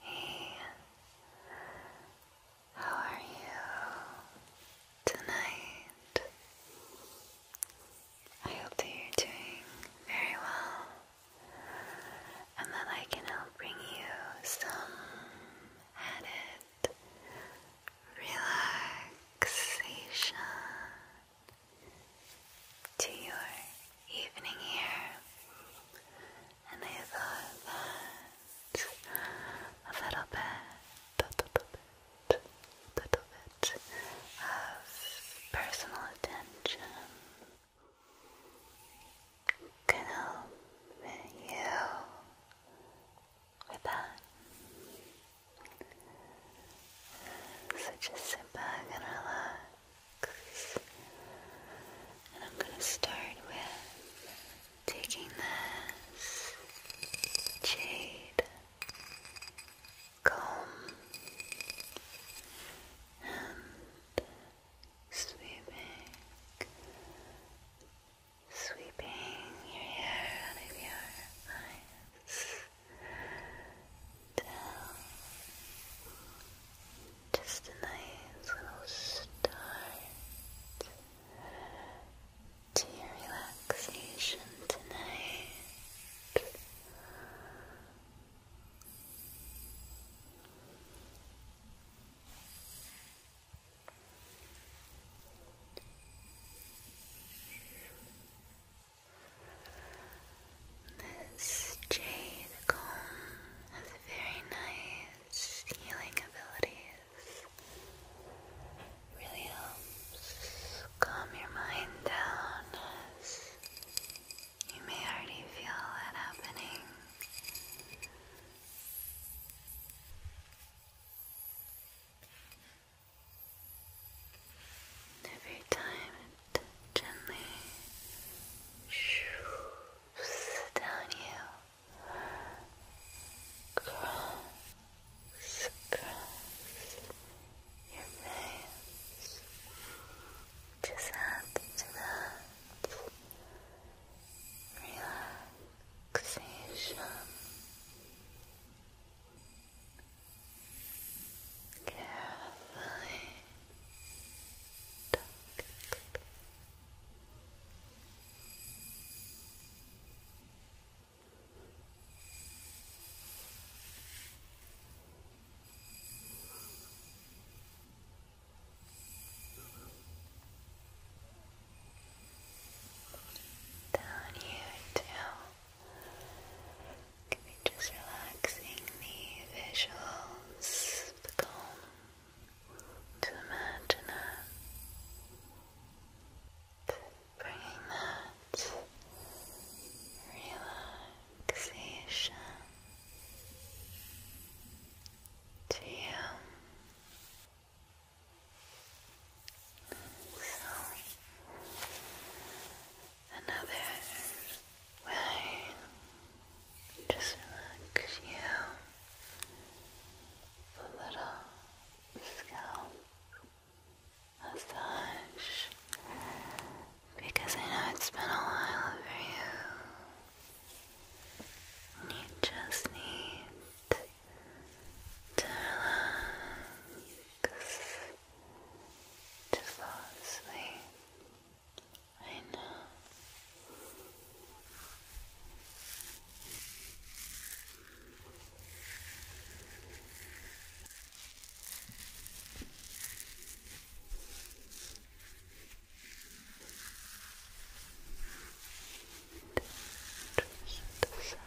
Hey, how are you tonight? I hope you're doing very well and that I can help bring you some added relaxation to your evening here, and I thought a little bit, little bit, little bit of personal attention can help you with that. So just sit back and relax. And I'm going to start with taking this jade comb and sweeping, sweeping your hair out of your eyes down. Just a nice little start to your relaxation tonight. This jade comb has very nice healing abilities. Really helps calm your mind down you may already feel that happening. Every time it gently shoots down you, cross, cross your face, just add to that Relaxation. Carefully tuck down here too can be just relaxing the visuals, the calm to imagine it, bringing that relaxation to you another way. Just relax you a little scalp massage because I know it's been a while for you. you just need to relax to fall asleep. I know. Just the sun.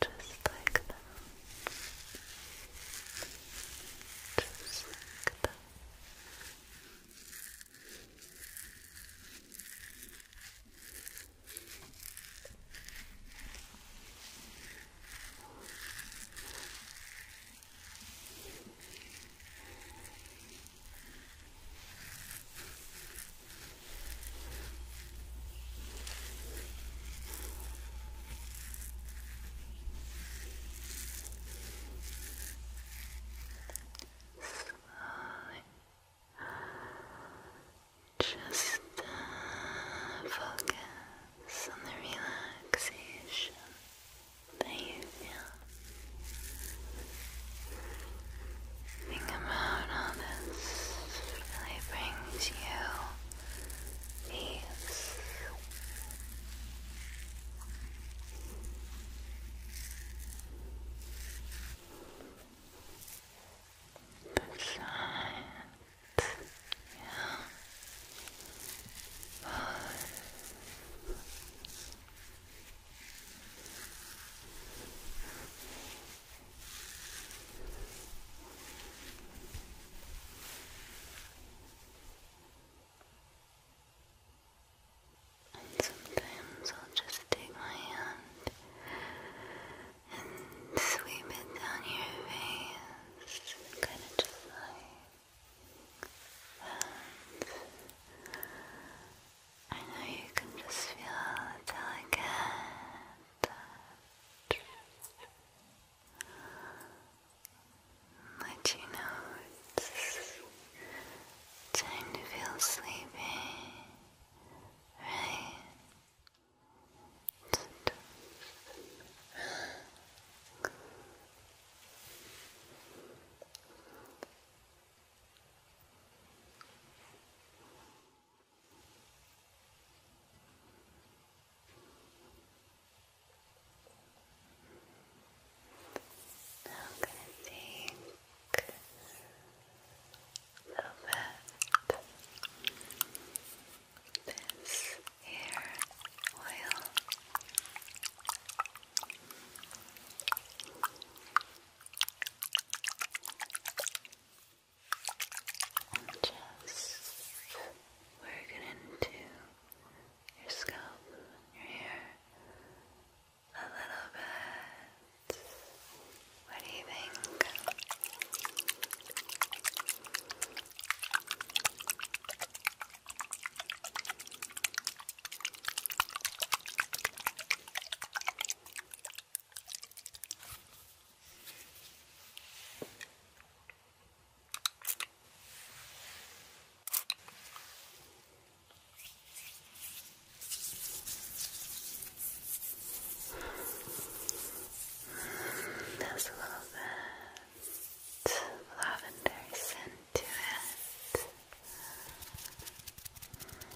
Just like that. Just like Slowly. Just uh, focus on the relaxation that you feel Think about how this really brings you peace. That's Yeah. And sometimes I'll just take my hand and sweep it down your face, kind of just like that. I know you can just feel it delicate touch let you know it's time to feel sleepy, right? Now I'm going to take a bit of this hair oil. And just work it into your scalp your hair a little bit. What do you think? There's a little bit lavender scent to it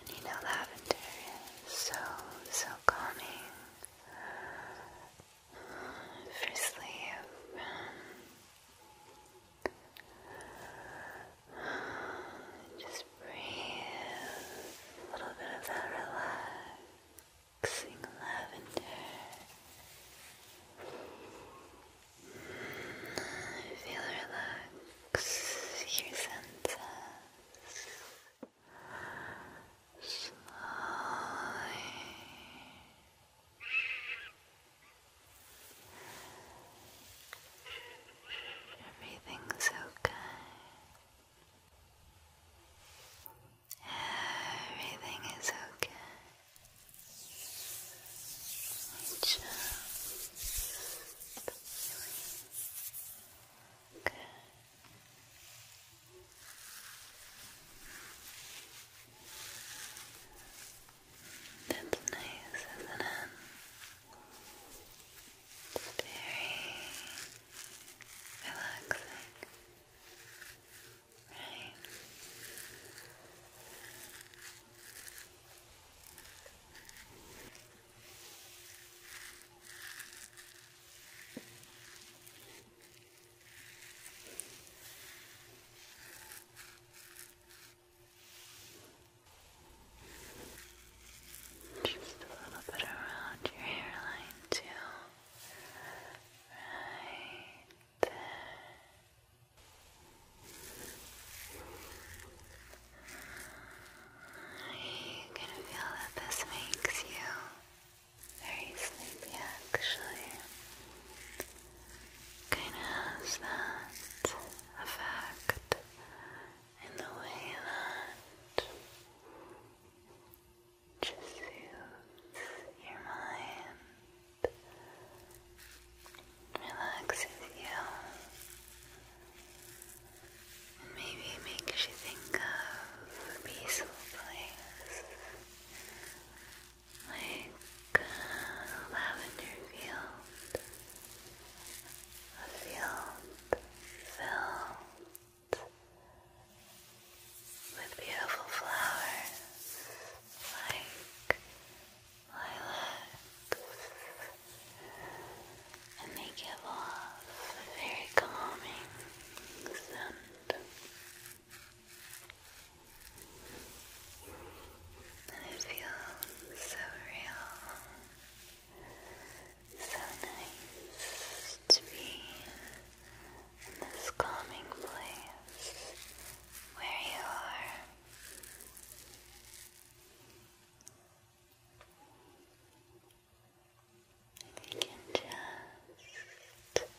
you know, lavender is so, so calming for sleep. Just breathe a little bit of that relaxing lavender feel relax your senses everything's okay everything is okay which uh, nice, isn't it? very relaxing, right? Just a little bit around your hairline, too. Right there. You can feel that this makes you very sleepy actually. Kind of has that effect in the way that just soothes your mind relaxes you, and maybe makes you think of a peaceful place like a uh, lavender field, a field filled with beautiful flowers like lilacs, and they give off a very calming scent. And it feels so real, so nice to be in this calming place where you are you can just relax, relax. Just Relax.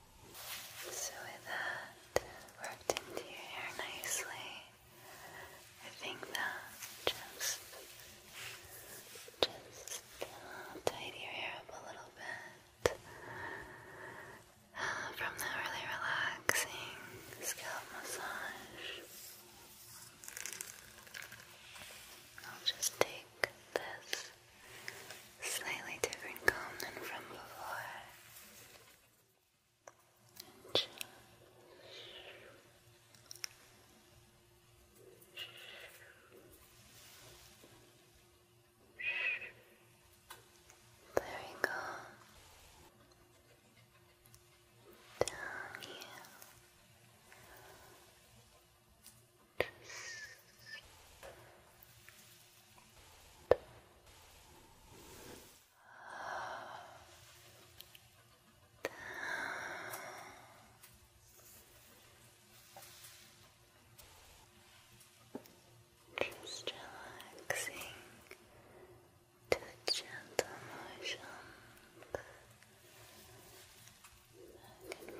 So with that worked into your hair nicely, I think that just just uh, tidy your hair up a little bit uh, from that really relaxing scalp massage. I'll just take this slightly different comb than from before. And there we go. Down here. Just relaxing to gentle motions back and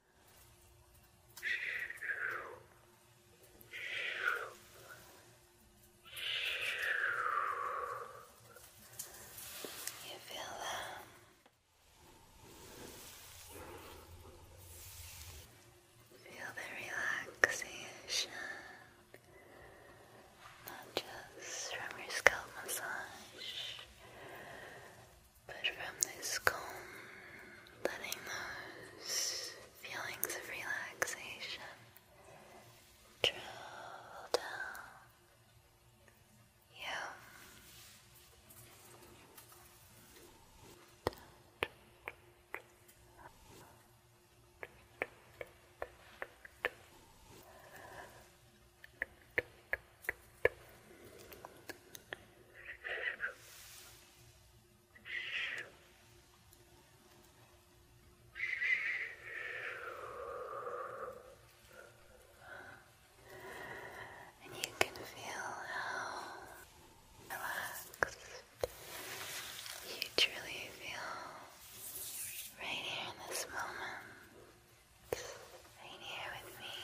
You feel them. Feel the relaxation, not just from your scalp massage, but from this comb, letting those feelings of relaxation travel down you. And you can feel how relaxed you truly feel right here in this moment, right here with me.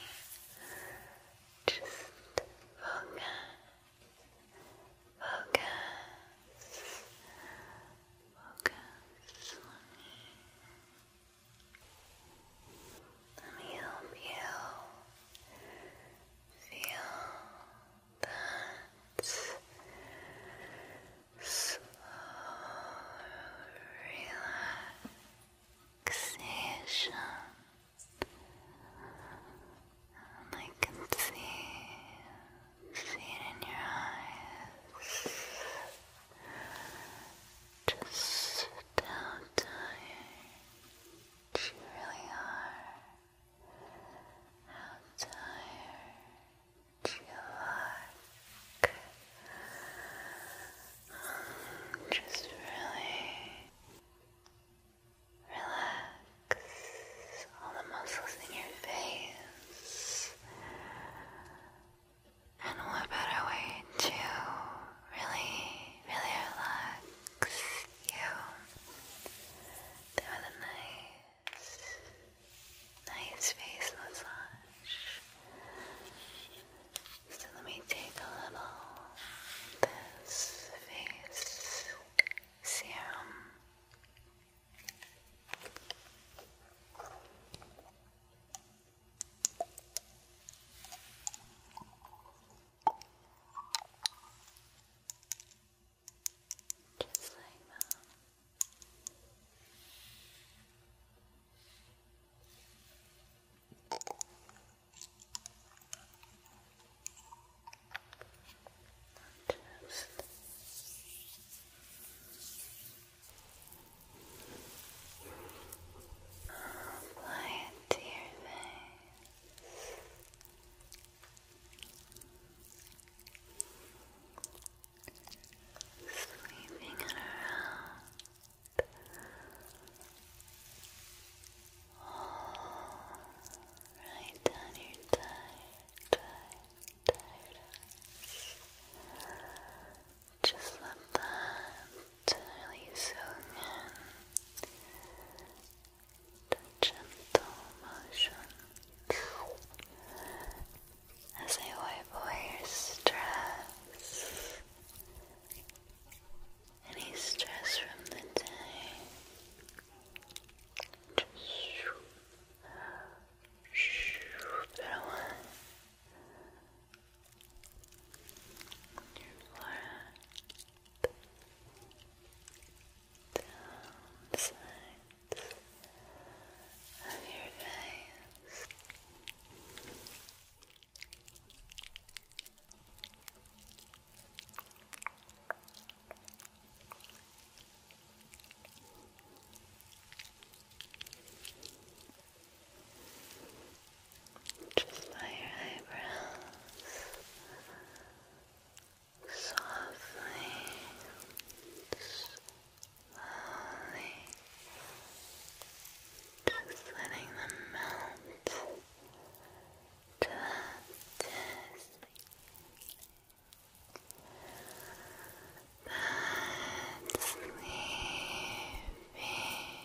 Just focus, focus, focus on me. Let me help you feel that slow relaxation. I can see, see it in your eyes. Just how tired you really are. How tired you look. Just really Relax all the muscles in your face. And what better way to really, really relax you than a nice, nice face massage? So let me take a little this face serum. Just like that. Apply it to your face. Sweeping it Right down your tired, Just let that really soak in. gentle motions as I wipe away your stress any stress from the day. Just shoop, shoop it Your forehead, down sides of your face. Just by your eyebrows, softly, slowly just letting them melt to just that sleepy feeling.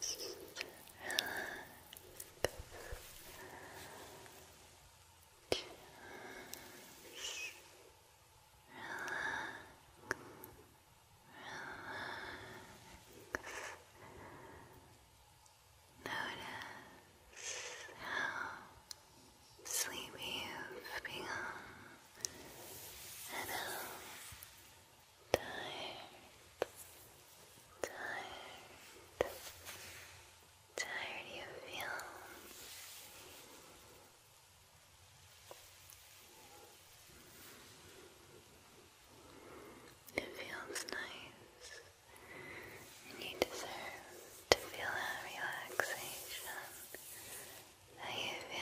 Just Notice how sleepy you've become. Hello. Tired. Tired. Tired you feel. It feels nice. And you deserve to feel that relaxation how you feel?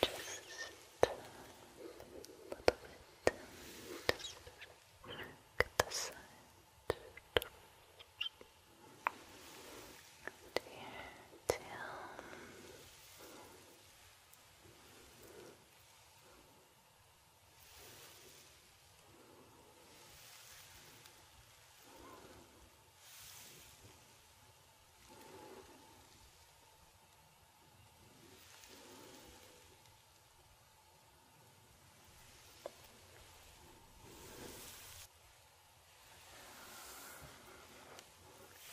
Just a little bit. Just get the side. And here, down.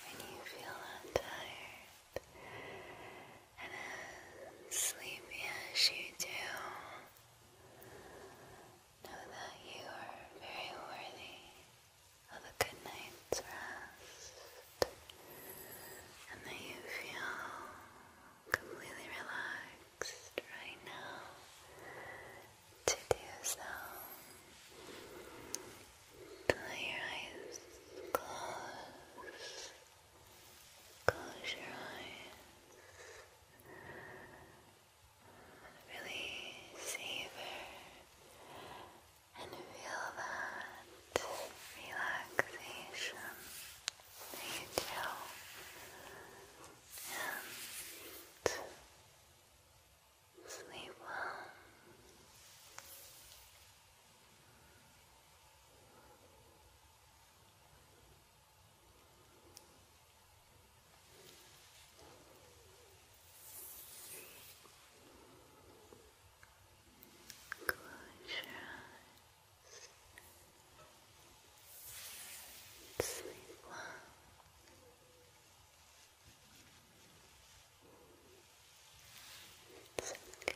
When you feel untired, and as sleepy as you do, know that you are very worthy of a good night's rest, and that you feel completely relaxed right now to do so. To your eyes Close your eyes. Really savor and feel that relaxation that you And sleep well. Close your eyes sleep well. It's okay.